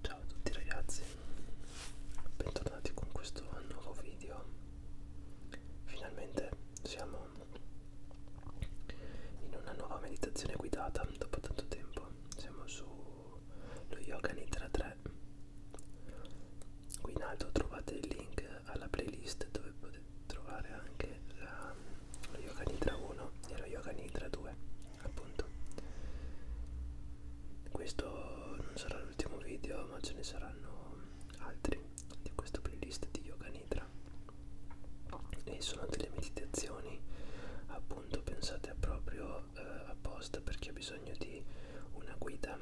Ciao a tutti ragazzi, bentornati con questo nuovo video. Finalmente siamo in una nuova meditazione guidata dopo tanto tempo. Siamo su lo Yoga Nitra 3. Qui in alto trovate il link alla playlist dove potete trovare anche la, lo Yoga Nitra 1 e lo Yoga Nitra 2 appunto questo non sarà l'ultimo video ma ce ne saranno altri di questa playlist di yoga nidra e sono delle meditazioni appunto pensate proprio eh, apposta per chi ha bisogno di una guida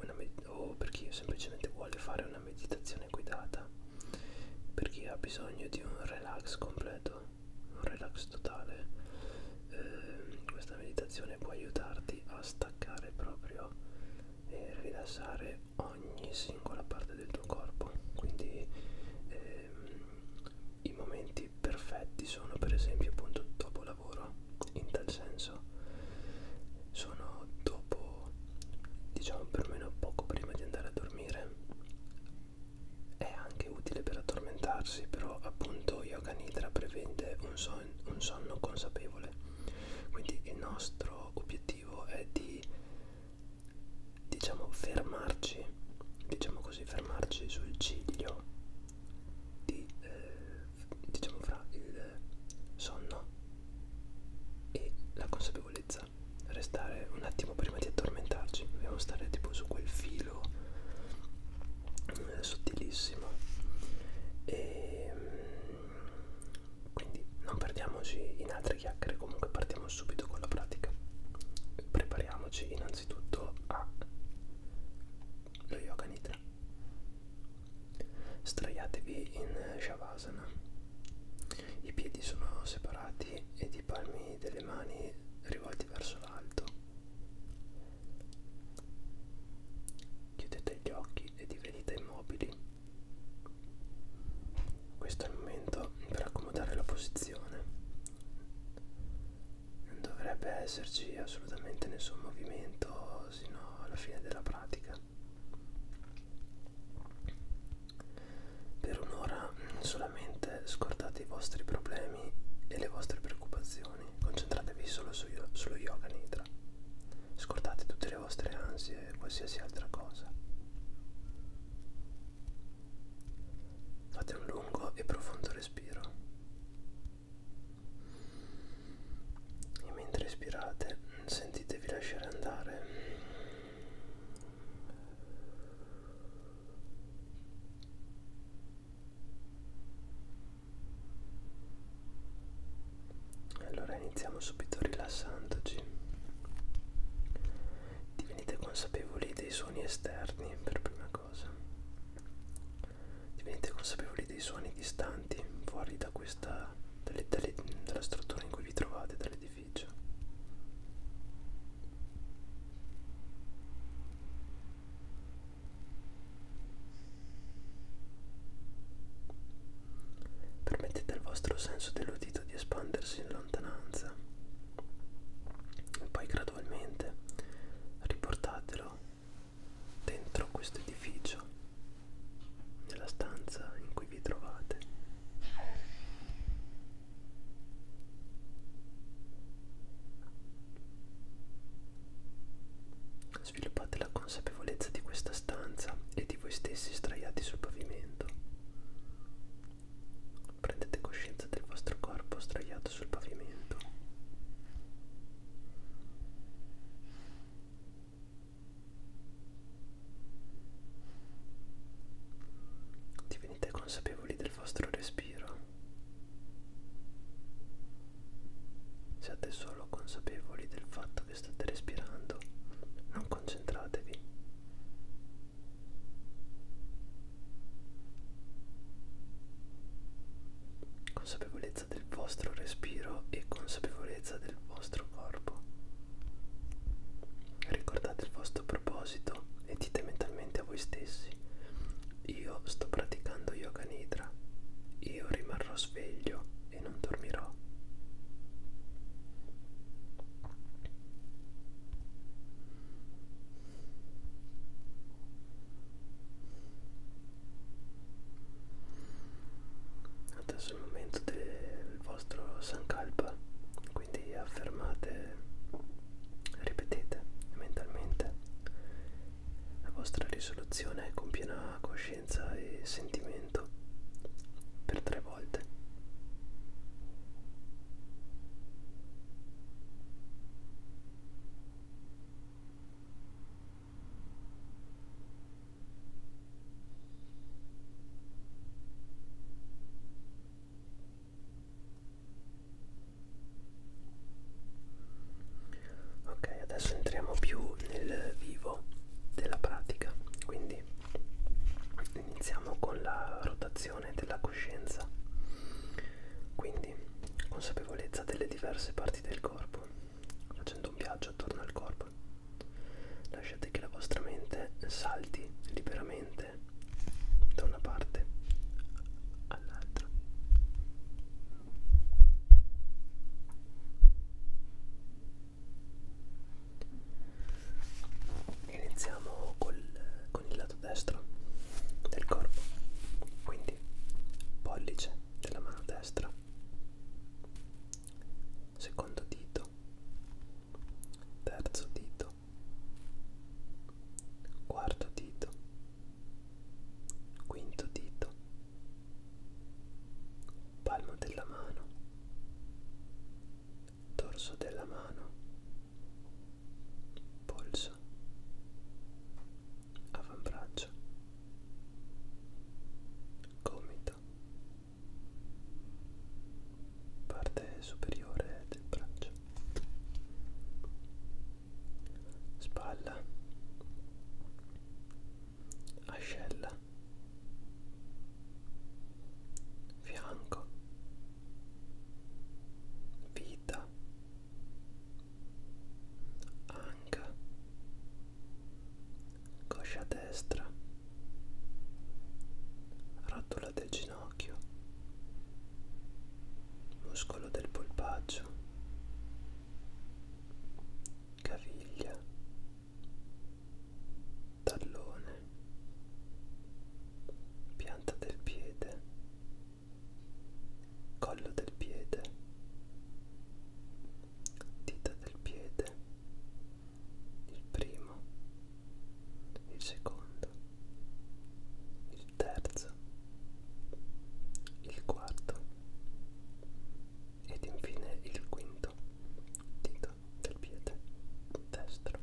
una o per chi semplicemente vuole fare una meditazione guidata per chi ha bisogno di un relax completo un relax totale eh, questa meditazione può aiutarti a staccare proprio e rilassare ogni singola parte del tuo corpo quindi ehm, i momenti perfetti sono per esempio appunto dopo lavoro in tal senso sono dopo diciamo perlomeno poco prima di andare a dormire è anche utile per addormentarsi, però appunto Yoga Nidra prevede un, son un sonno consapevole. Quindi il nostro obiettivo è di diciamo fermarci, diciamo così, fermarci sul ciglio di eh, diciamo fra il sonno e la consapevolezza restare un attimo prima di addormentarci dobbiamo stare tipo su quel filo eh, sottilissimo e mm, quindi non perdiamoci in altre chiacchiere comunque partiamo subito con la pratica prepariamoci innanzitutto a lo yoga nidra straiatevi in shavasana i piedi sono separati ed i palmi delle mani rivolti verso l'alto. Chiudete gli occhi e divenite immobili. Questo è il momento per accomodare la posizione. Non dovrebbe esserci assolutamente nessun movimento sino alla fine della pratica. Per un'ora mm, solamente scordate i vostri problemi e le vostre preoccupazioni, concentratevi solo su, sullo yoga nidra, scordate tutte le vostre ansie e qualsiasi altra cosa. Fate un lungo e profondo respiro e mentre respirate sentitevi lasciare andare allora iniziamo subito rilassandoci. Divenite consapevoli dei suoni esterni per prima cosa. Divenite consapevoli dei suoni distanti fuori da questa dalle, dalle, dalla struttura in cui vi trovate, dall'edificio sacrificio. Permettete al vostro senso dell'udito di espandersi in lontananza e poi gradualmente riportatelo dentro questo edificio, nella stanza in cui vi trovate. Sviluppate la consapevolezza di questa stanza e di voi stessi straiati sul pavimento. Prendete coscienza del vostro corpo straiato sul pavimento. Venite consapevoli del vostro respiro. Siate solo consapevoli del fatto che state respirando, non concentratevi. Consapevolezza del vostro respiro e consapevolezza del vostro corpo. Ricordate il vostro proposito e dite mentalmente a voi stessi, io sto praticando yoga nidra, io rimarrò sveglio e non dormirò. Adesso è il momento del vostro sankalpa, quindi affermate Ripetete mentalmente la vostra risoluzione con piena coscienza e sentimento per tre volte ok adesso entriamo più nel vivo della pratica quindi iniziamo con la rotazione della coscienza quindi consapevolezza delle diverse parti del corpo facendo un viaggio attorno al corpo lasciate che la vostra mente salti liberamente mente da una parte all'altra. Iniziamo col, con il lato destro del corpo, quindi pollice della mano destra, secondo dito, terzo dito, quarto dito, quinto dito, palmo della mano, dorso della mano, polso, avambraccio, gomito parte superiore del braccio, spalla, ascella, fianco, vita, anca, coscia destra, rotula del ginocchio ginocchio, muscolo del polpaccio, caviglia, tallone, pianta del piede, collo del piede, dita del piede, il primo il secondo, il terzo, il quarto ed infine il quinto dito del piede destro.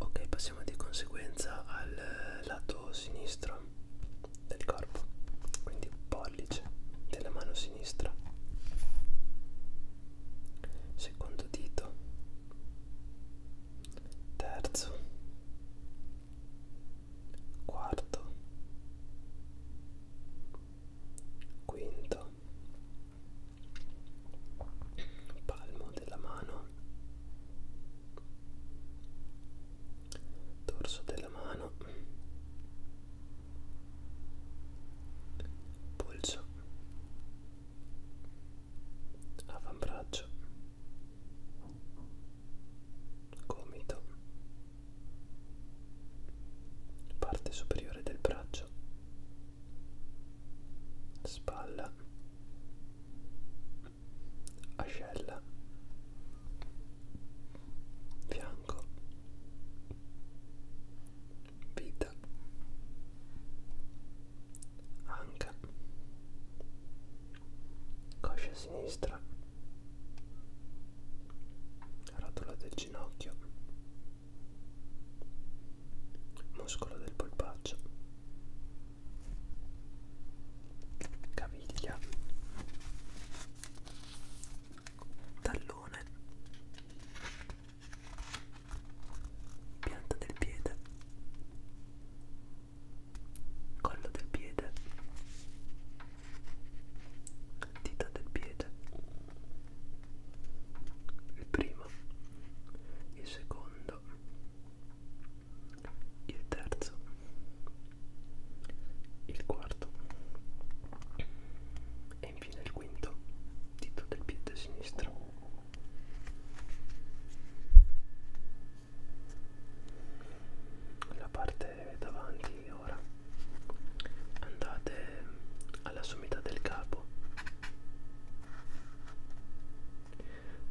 Ok, passiamo di conseguenza al lato sinistro del corpo quindi pollice della mano sinistra secondo dito terzo quarto quinto palmo della mano dorso della mano polso avambraccio gomito parte superiore del braccio spalla ascella fianco vita anca coscia sinistra rotola del ginocchio muscolo del polpaccio caviglia tallone pianta del piede collo del piede dita del piede il primo il secondo il terzo il quarto e infine il quinto dito del piede sinistro la parte davanti ora andate alla sommità del capo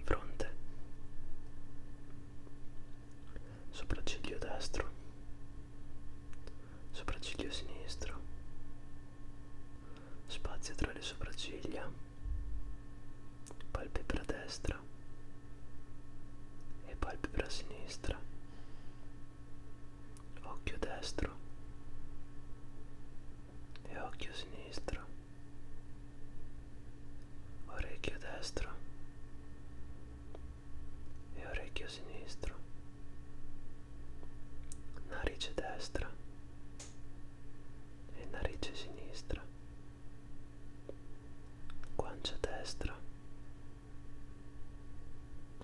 fronte sopracciglio destro, sopracciglio sinistro, spazio tra le sopracciglia, palpebra destra e palpebra sinistra, occhio destro e occhio sinistro, orecchio destro e orecchio sinistro, narice destra e narice sinistra, guancia destra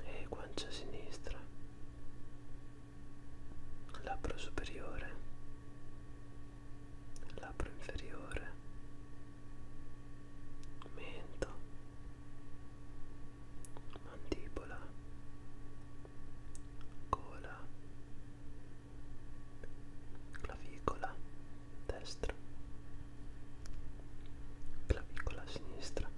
e guancia sinistra, labbro superiore, labbro inferiore mento mandibola gola clavicola destra clavicola sinistra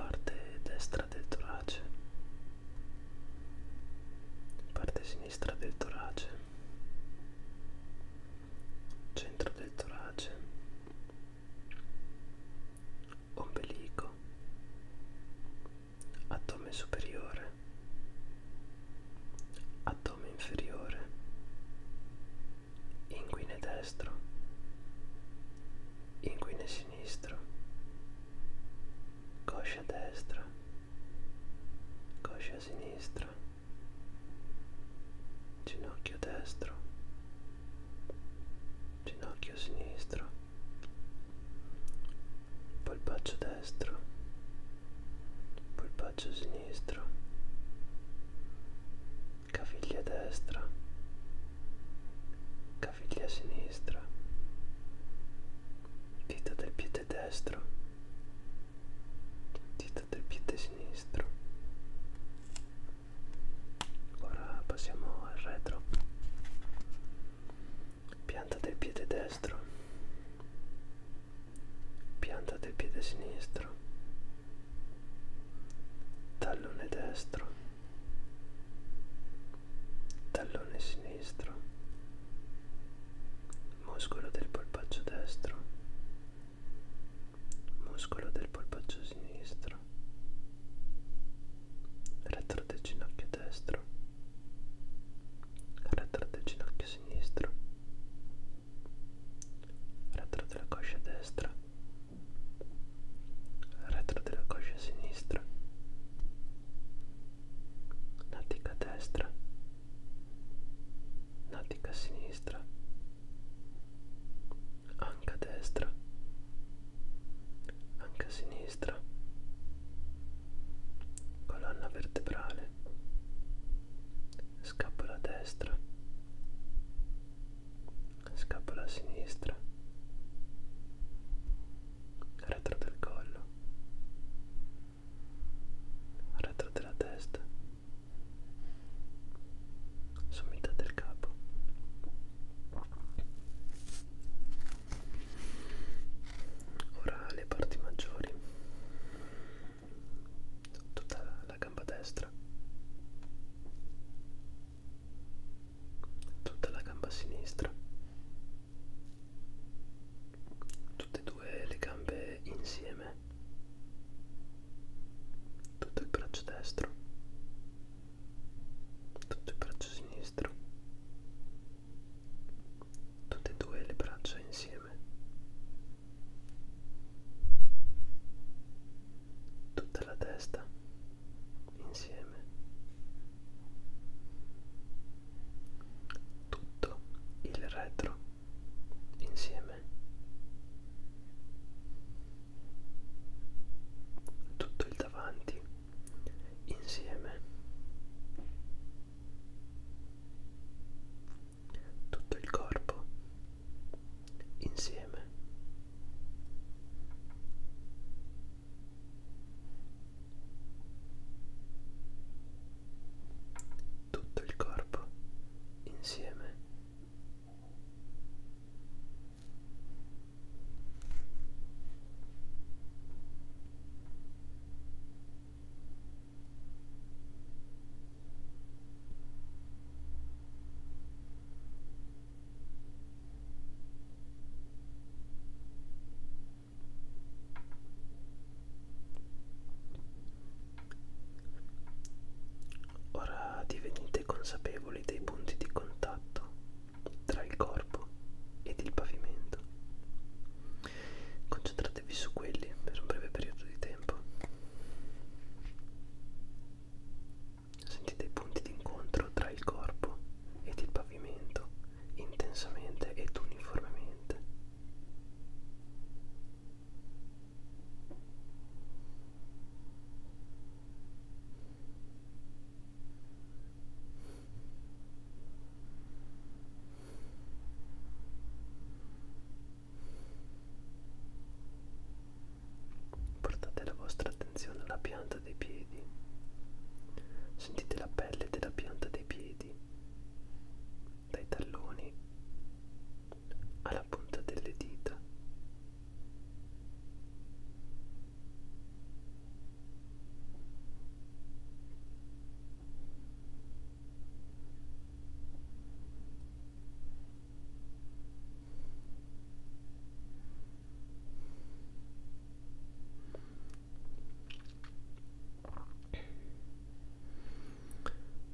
parte destra del torace parte sinistra del torace centro del torace, ombelico, addome superiore, addome inferiore, inguine destro, inguine sinistro, coscia destra coscia sinistra, ginocchio destro, ginocchio sinistro, polpaccio destro, polpaccio sinistro, caviglia destra, caviglia sinistra, dita del piede piede destro dita del piede sinistro ora passiamo al retro pianta del piede destro pianta del piede sinistro tallone destro tallone sinistro muscolo del polpaccio destro, muscolo del polpaccio sinistro, retro del ginocchio destro, retro del ginocchio sinistro, retro della coscia destra, retro della coscia sinistra natica destra, natica sinistra, anca destra, anca sinistra, colonna vertebrale, scapola destra, scapola sinistra, retro del collo retro della testa, sommità del capo. Ora le parti maggiori, tutta la gamba destra, tutta la gamba sinistra tutte e due le gambe insieme tutto il braccio destro tutto il braccio sinistro tutte e due le braccia insieme tutta la testa insieme tutto il retro insieme tutto il davanti insieme tutto il corpo insieme tutto il corpo insieme Ora divenite consapevoli dei punti di contatto tra il corpo ed il pavimento. Concentratevi su quelli per un breve periodo di tempo. Sentite i punti di incontro tra il corpo ed il pavimento intensamente ed uniformemente. Portate la vostra attenzione alla pianta dei piedi. Sentite la pelle della pianta dei piedi piedi, dai talloni alla punta delle dita.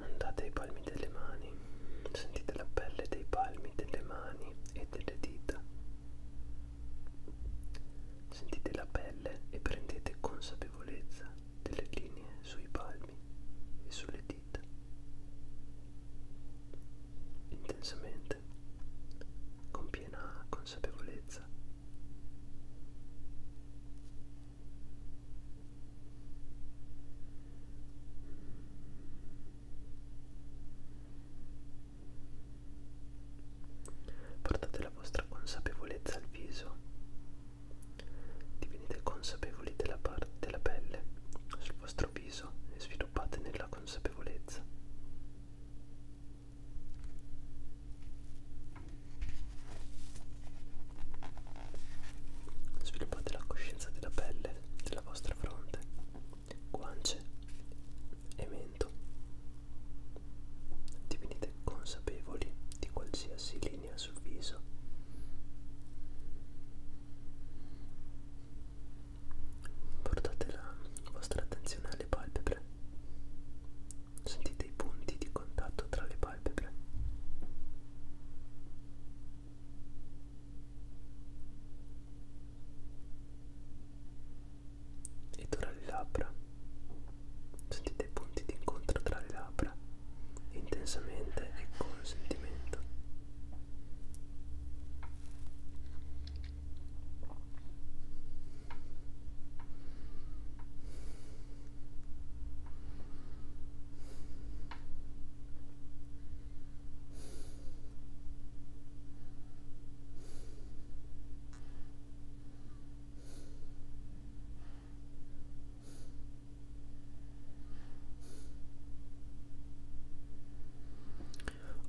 Andate ai palmi delle mani, sentite la pelle dei palmi delle mani e delle dita. Sentite la pelle e prendete consapevolezza delle linee sui palmi e sulle dita. Intensamente, con piena consapevolezza. Portate la vostra consapevolezza al viso, divenite consapevoli della parte della pelle sul vostro viso e sviluppate nella consapevolezza. Sviluppate la coscienza della pelle, della vostra fronte, guance e mento. Divenite consapevoli di qualsiasi linea sul viso. Portate la vostra attenzione alle palpebre Sentite i punti di contatto tra le palpebre. E tra le labbra. Sentite i punti di incontro tra le labbra intensamente e con sentimento.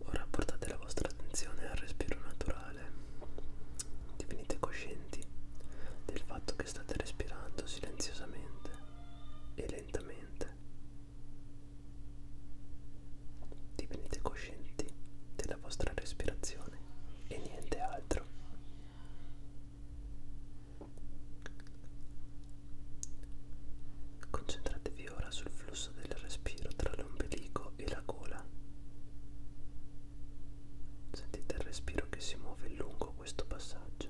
Ora portate la vostra attenzione al respiro naturale naturale. Divenite coscienti del fatto che state respirando silenziosamente e lentamente. Divenite coscienti della vostra respirazione e niente altro. Concentratevi ora sul flusso del respiro tra l'ombelico e la gola. Sentite il respiro che si muove lungo questo passaggio.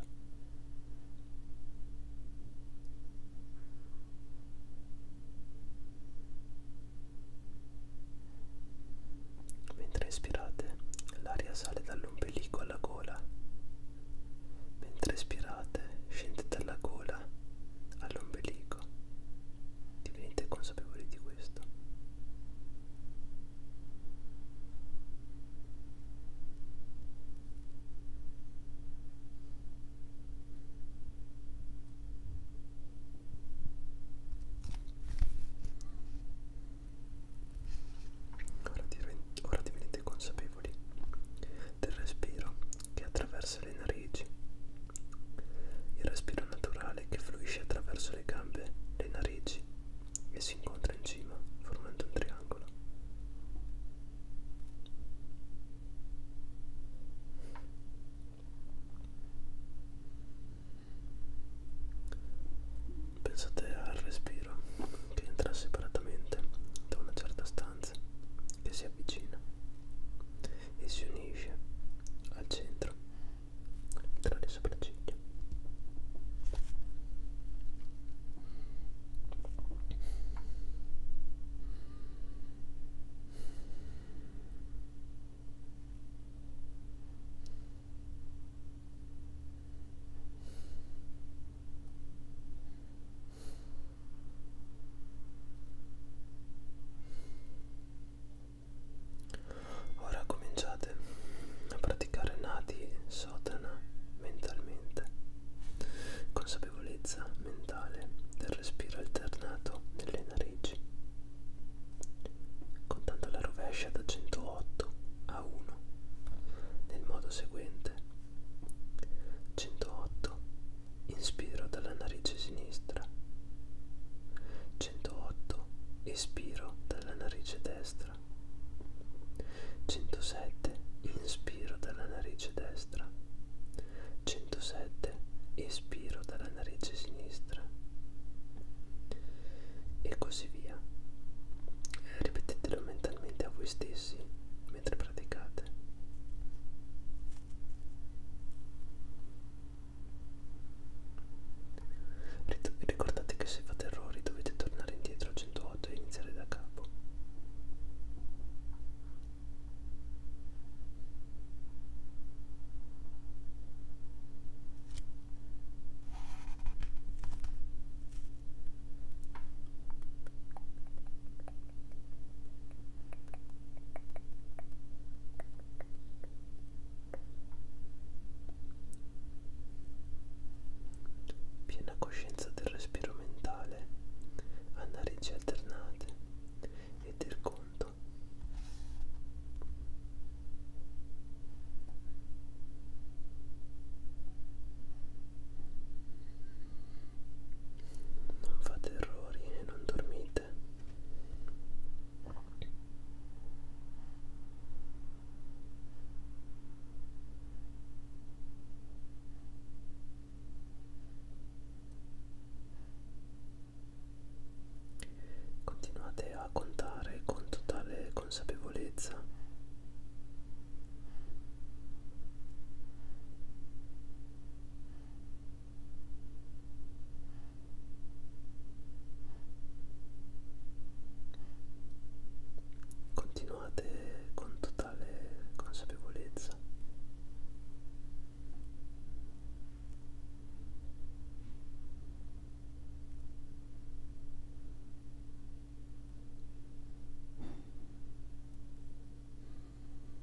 Mentre inspirate, l'aria sale dall'ombelico alla gola. Mentre espirate, scende dalla gola all'ombelico Divenite consapevoli di questo. Ora, divent ora divenite consapevoli del respiro che attraversa le narici il respiro naturale che fluisce attraverso le gambe, le narici e si incontra in cima formando un triangolo. Pensate al respiro che entra separatamente da una certa stanza che si avvicina e si unisce al centro tra le sopracciglia Ora cominciate a praticare nati sotana mentalmente, consapevolezza mentale del respiro alternato nelle narici, contando la rovescia da 108 a 1 nel modo seguente. 108 inspiro dalla narice sinistra 108 espiro dalla narice destra 107 inspiro dalla narice destra 107 espiro dalla narice sinistra e così via ripetetelo mentalmente a voi stessi mentre praticate Ricordate che se fate errori dovete tornare indietro a 108 e iniziare da capo. Piena coscienza del respiro mentale a narici alternate e del conto. Non fate errori e non dormite niente Continuate a contare con totale consapevolezza. Continuate con totale consapevolezza.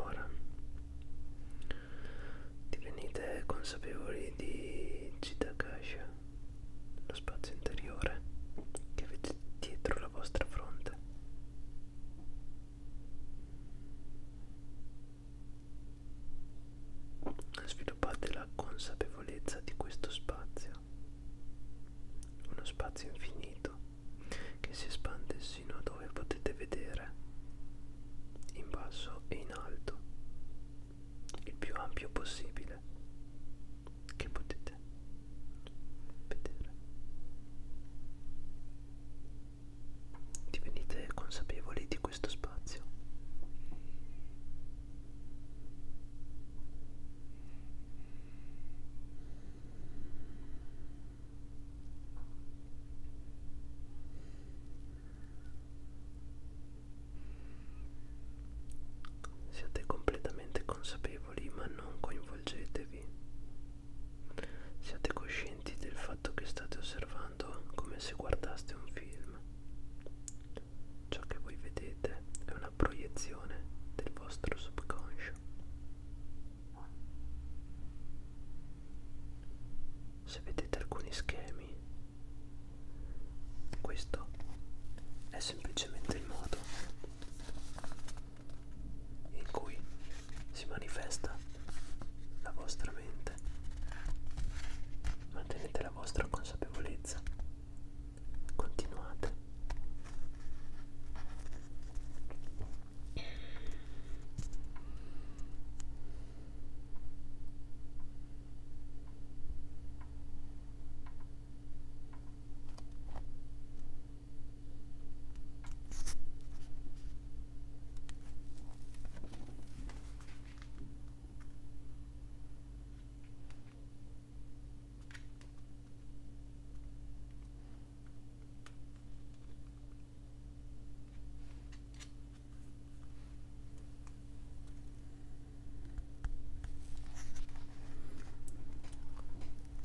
Ora divenite consapevoli di Chitakasha, lo spazio interiore che avete dietro la vostra fronte. Sviluppate la consapevolezza di questo spazio, uno spazio infinito che si espande sino a dove potete vedere, in basso e in alto, il più ampio possibile che potete vedere. Divenite consapevoli di questo spazio. Siate completamente consapevoli ma non coinvolgetevi. Siate coscienti del fatto che state osservando come se guardaste un film. Ciò che voi vedete è una proiezione del vostro subconscio lascio se vedete alcuni schemi questo è semplicemente il modo in cui si manifesta la vostra mente mantenete la vostra consapevolezza continuate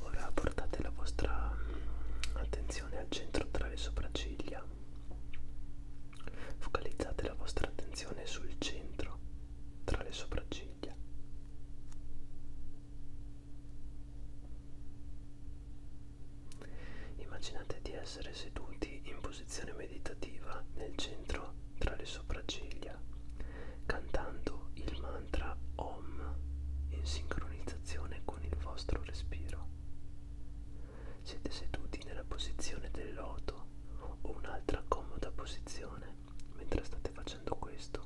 Ora portate la vostra mm, attenzione al centro tra le sopracciglia. Focalizzate la vostra attenzione sul centro tra le sopracciglia ciglia. Immaginate di essere seduti in posizione meditativa nel centro tra le sopracciglia, cantando il mantra OM in sincronizzazione con il vostro respiro. Siete seduti nella posizione del loto o un'altra comoda posizione mentre state facendo questo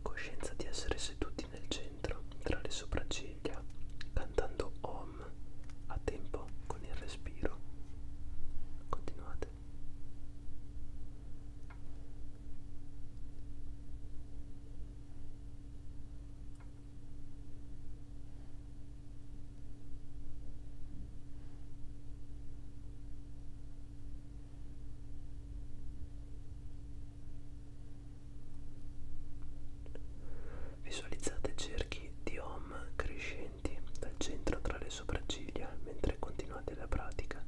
Coscienza di essere seduti nel centro, tra le sopracciglia, cantando Om boom a tempo con il respiro continuate Visualizzate cerchi di OM crescenti dal centro tra le sopracciglia mentre continuate la pratica.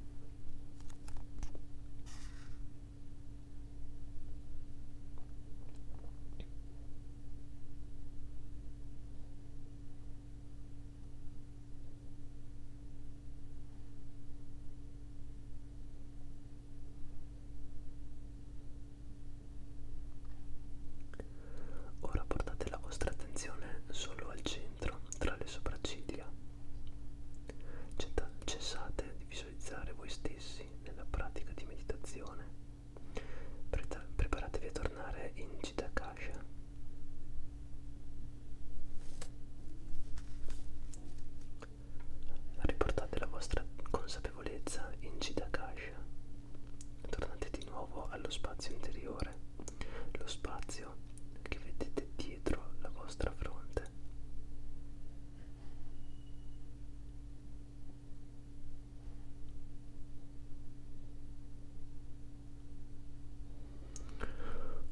Ora portate la vostra attenzione solo al centro, tra le sopracciglia. Cessate di visualizzare voi stessi nella pratica di meditazione. Pre preparatevi a tornare in Citakasha riportate la vostra consapevolezza in Jidakasha, tornate di nuovo allo spazio interiore, lo spazio che vedete dietro la vostra fronte.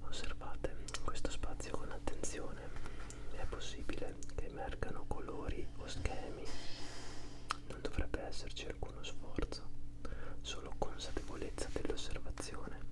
Osservate questo spazio con attenzione è possibile che emergano colori o schemi. Non dovrebbe esserci alcuno sforzo, solo consapevolezza dell'osservazione.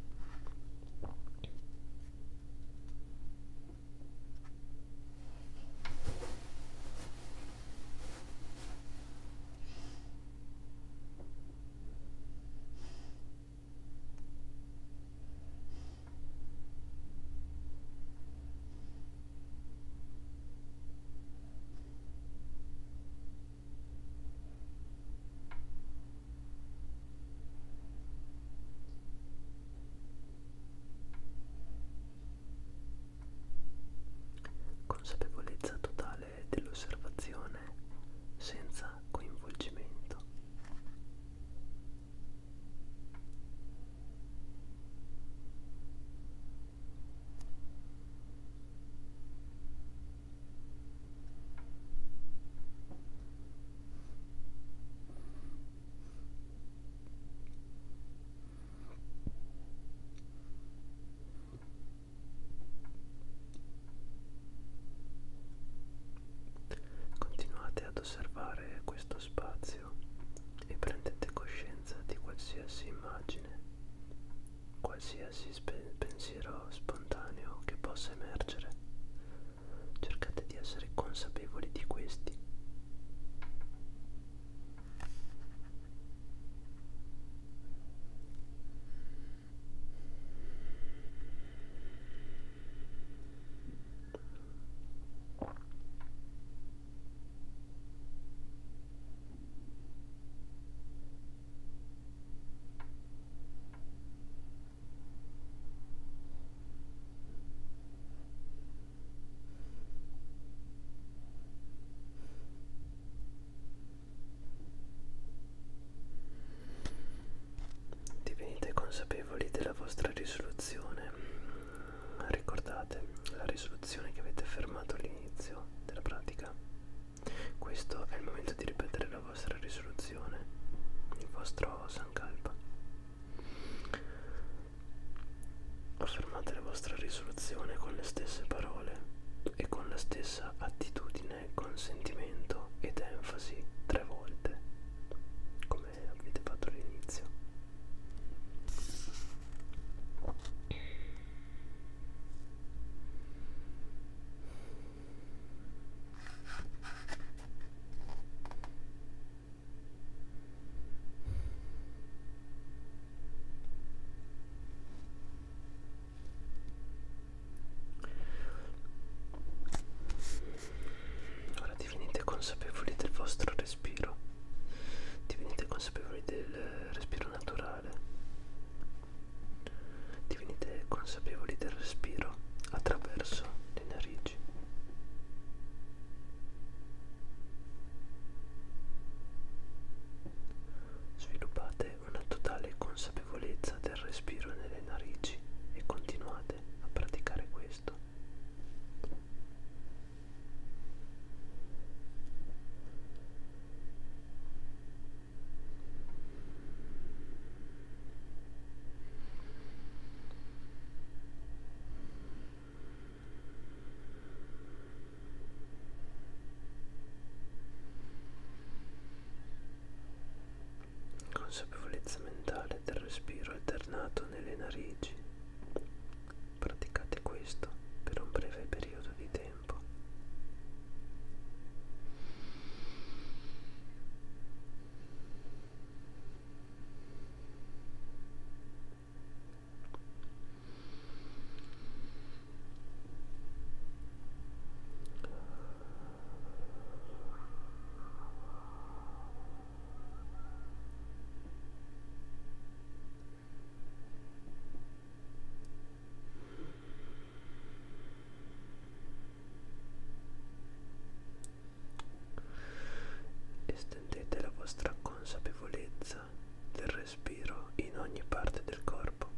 Consapevolezza totale dell'osservazione senza coinvolgimento. Continuate ad osservare questo spazio e prendete coscienza di qualsiasi immagine, qualsiasi pensiero spontaneo che possa emergere. Cercate di essere consapevoli di questi. Divenite consapevoli della vostra risoluzione Ricordate la risoluzione che avete affermato all'inizio della pratica. Questo è il momento di ripetere la vostra risoluzione, il vostro sankalpa. Affermate la vostra risoluzione con le stesse parole e con la stessa attitudine, consentimento ed enfasi tre volte. Come come avete fatto all'inizio Ora divenite consapevoli del vostro respiro, divenite consapevoli del respiro naturale, divenite consapevoli del respiro attraverso le narici. Sviluppate una totale consapevolezza del respiro nelle narici e continuate a praticare questo questo consapevolezza mentale del respiro alternato nelle narici Praticate questo per un breve periodo di tempo. Estendete la vostra consapevolezza del respiro in ogni parte del corpo.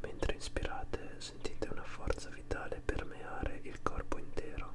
Mentre inspirate sentite una forza vitale permeare il corpo intero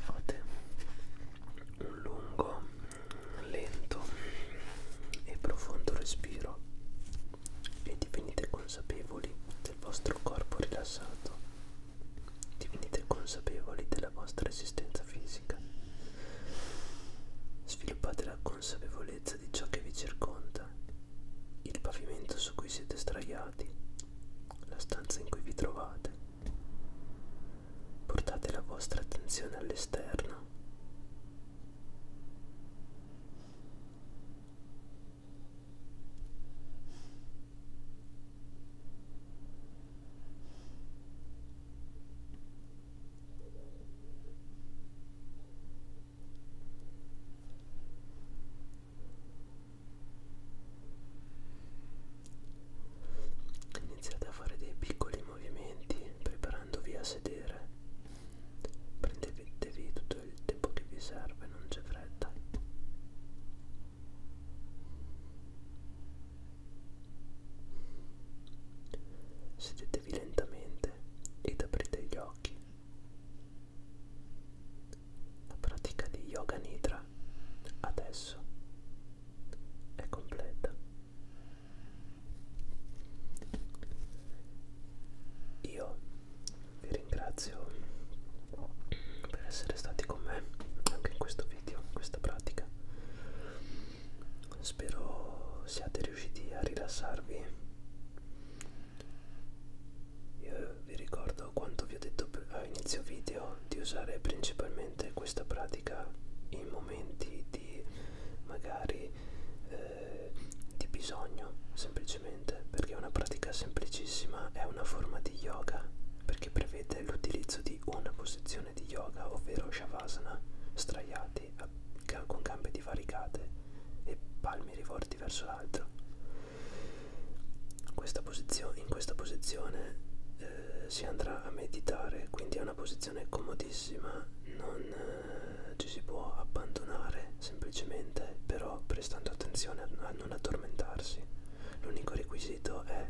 fate un lungo lento e profondo respiro e divenite consapevoli del vostro corpo rilassato divenite consapevoli della vostra esistenza fisica sviluppate la consapevolezza di ciò che vi circonda, il pavimento su cui siete straiati, la stanza in cui vi trovate. Portate la vostra attenzione all'esterno. Iniziate a fare dei piccoli movimenti preparandovi a sedere. Prendetevi tutto il tempo che vi serve, non c'è fretta. Sedetevi lentamente ed aprite gli occhi. La pratica di Yoga Nidra adesso è completa. Io vi ringrazio per essere stati con me anche in questo video, in questa pratica spero siate riusciti a rilassarvi io vi ricordo quanto vi ho detto a inizio video di usare principalmente questa pratica in momenti di magari eh, di bisogno semplicemente perché è una pratica semplicissima è una forma di yoga perché prevede l'utilizzo di una posizione di yoga ovvero shavasana straiati avanti con gambe divaricate e palmi rivolti verso l'altro. In questa posizione eh, si andrà a meditare, quindi è una posizione comodissima, non eh, ci si può abbandonare semplicemente, però prestando attenzione a non addormentarsi. L'unico requisito è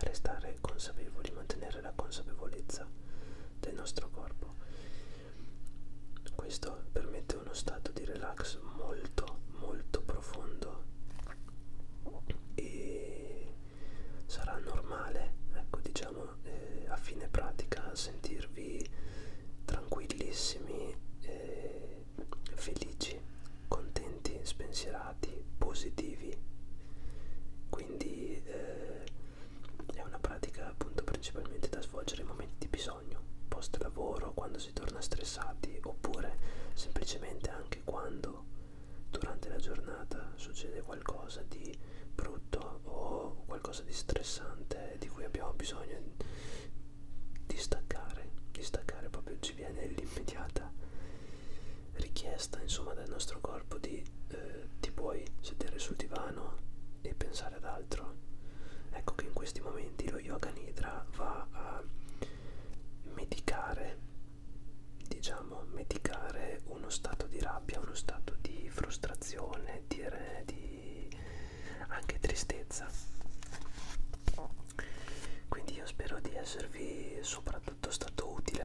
restare consapevoli, mantenere la consapevolezza del nostro corpo. Questo permette uno stato di relax molto molto profondo e sarà normale, ecco diciamo, eh, a fine pratica sentirvi tranquillissimi, eh, felici, contenti, spensierati, positivi quindi eh, è una pratica appunto principalmente da svolgere in momenti di bisogno, post lavoro, quando si torna stressati oppure semplicemente anche quando durante la giornata succede qualcosa di brutto o qualcosa di stressante di cui abbiamo bisogno di staccare, di staccare proprio ci viene l'immediata richiesta insomma del nostro corpo di eh, ti puoi sedere sul divano e pensare ad altro ecco che in questi momenti lo yoga nidra va a medicare diciamo medicare uno stato di rabbia uno stato di frustrazione di, di anche tristezza quindi io spero di esservi soprattutto stato utile